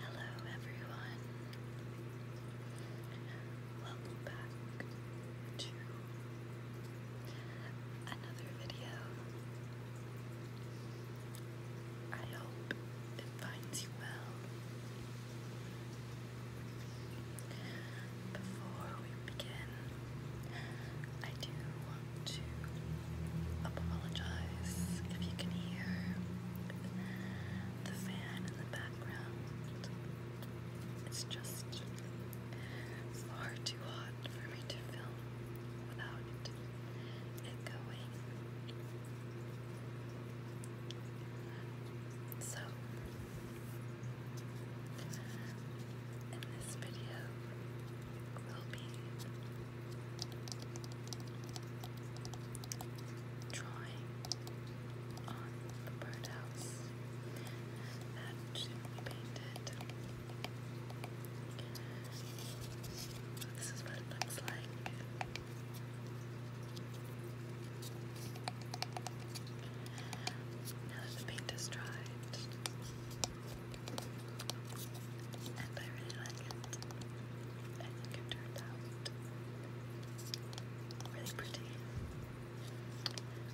Hello, everyone. Welcome back to another video. I hope it finds you well. Before we begin, I do want to apologize if you can hear the fan in the background. It's just far too hot for me to film without it going. So, in this video, Ruby, drawing on the birdhouse that we painted. This is what it looks like. Now that the paint is dried, and I really like it. I think it turned out really pretty.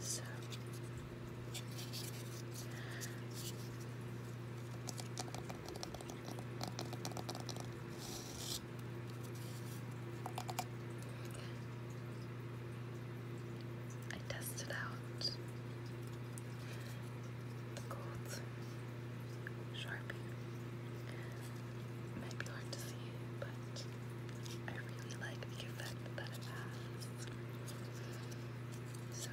So I tested out the gold sharpie. might be hard to see, but I really like the effect that it has. So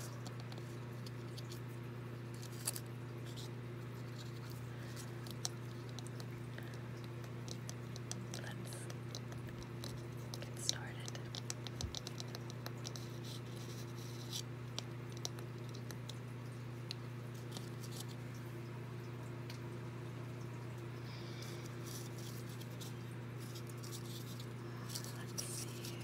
get started. Let's see. Okay.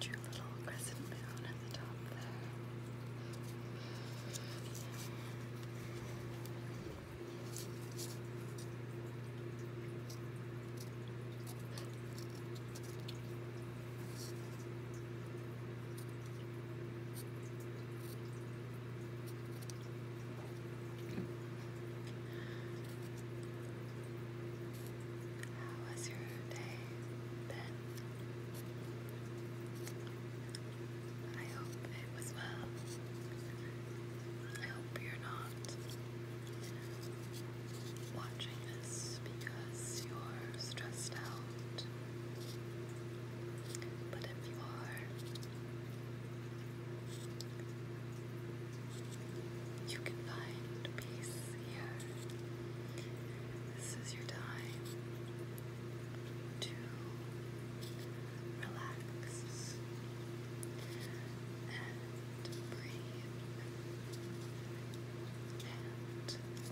Two little crescent moon at the top there. How was your day then? I hope it was well. I hope you're not watching this because you're stressed out. But if you are, you can find peace here this is your time to relax and breathe and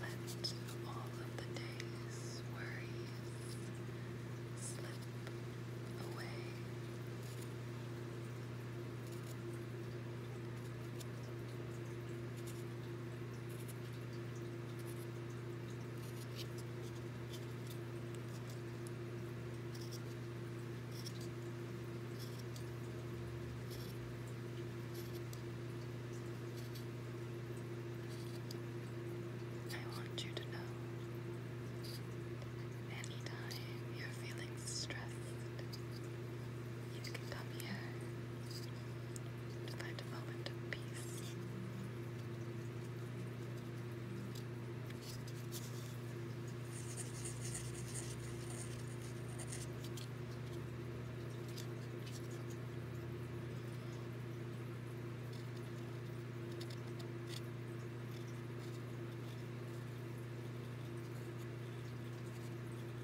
let all of the day's worries slip away. I want you to know anytime you're feeling stressed, you can come here to find a moment of peace.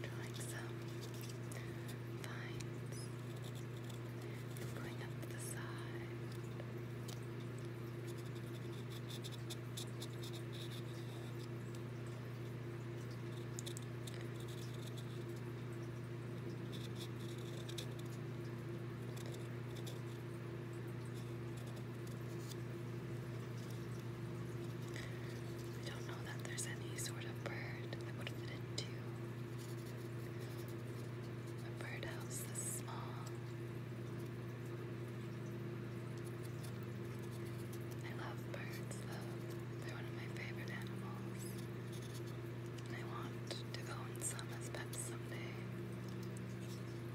Drawing some lines and going up to the side. Just I don't know that there's any sort of bird that would fit into a birdhouse this small. I love birds though. They're one of my favorite animals. I want to go on some as someday. I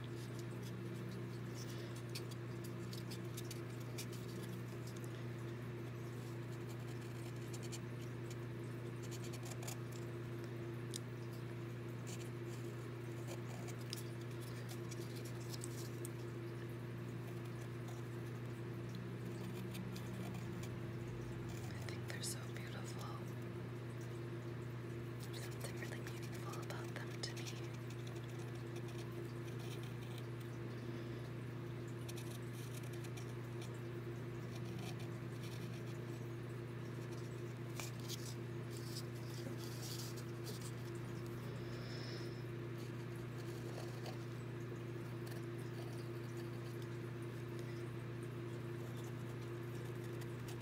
think they're so beautiful something really beautiful about them to me.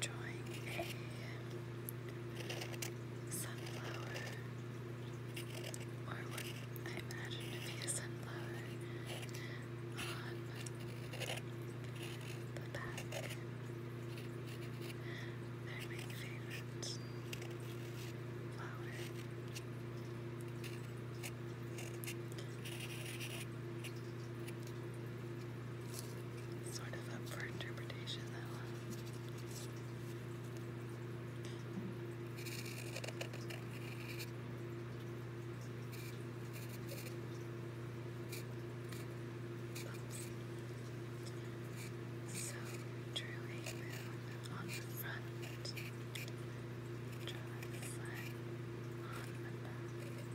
drawing a sunflower or what I imagine to be a sunflower on the back. my favorite flower. Sort of up for interpretation that so drew a moon on the front, drew a sun on the back.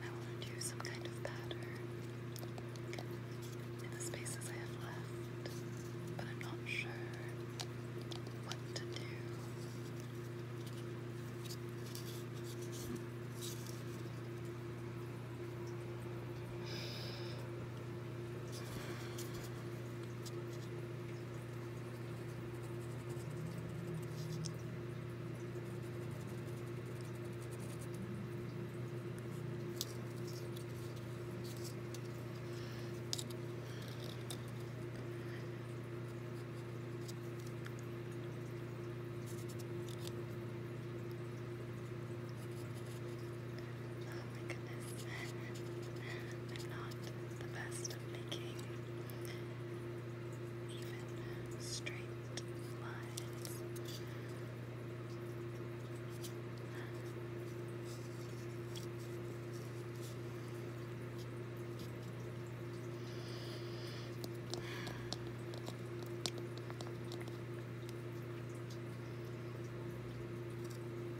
I want to do some kind of pattern in the spaces I have left, but I'm not sure what to do. Oh my goodness. I'm not the best making even straight lines.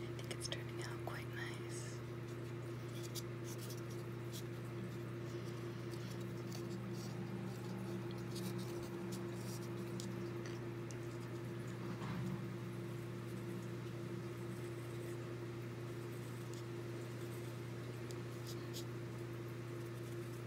I think it's turning out quite nice.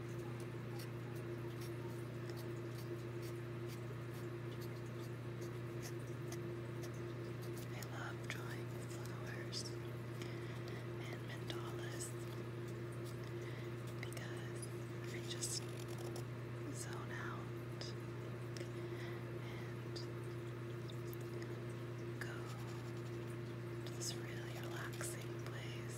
I love drawing flowers and mandalas because I just zone out and go to this really relaxing place.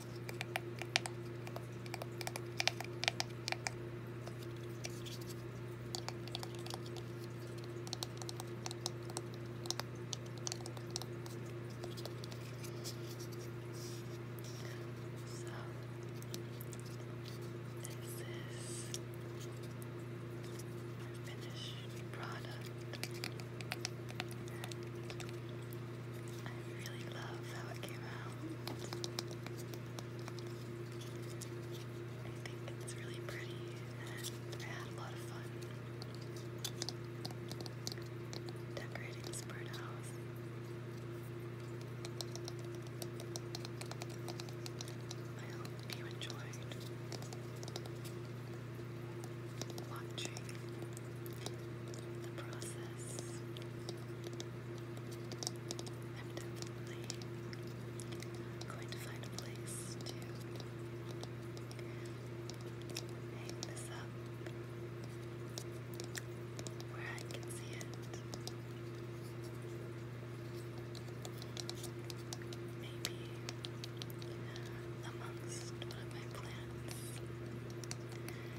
So this is finished product. I really love how it came out. I think it's really pretty and I had a lot of fun decorating this bird I hope you enjoyed watching the process. I'm definitely going to find a place to hang this up where I can see it. Maybe amongst one of my plants.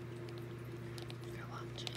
for watching.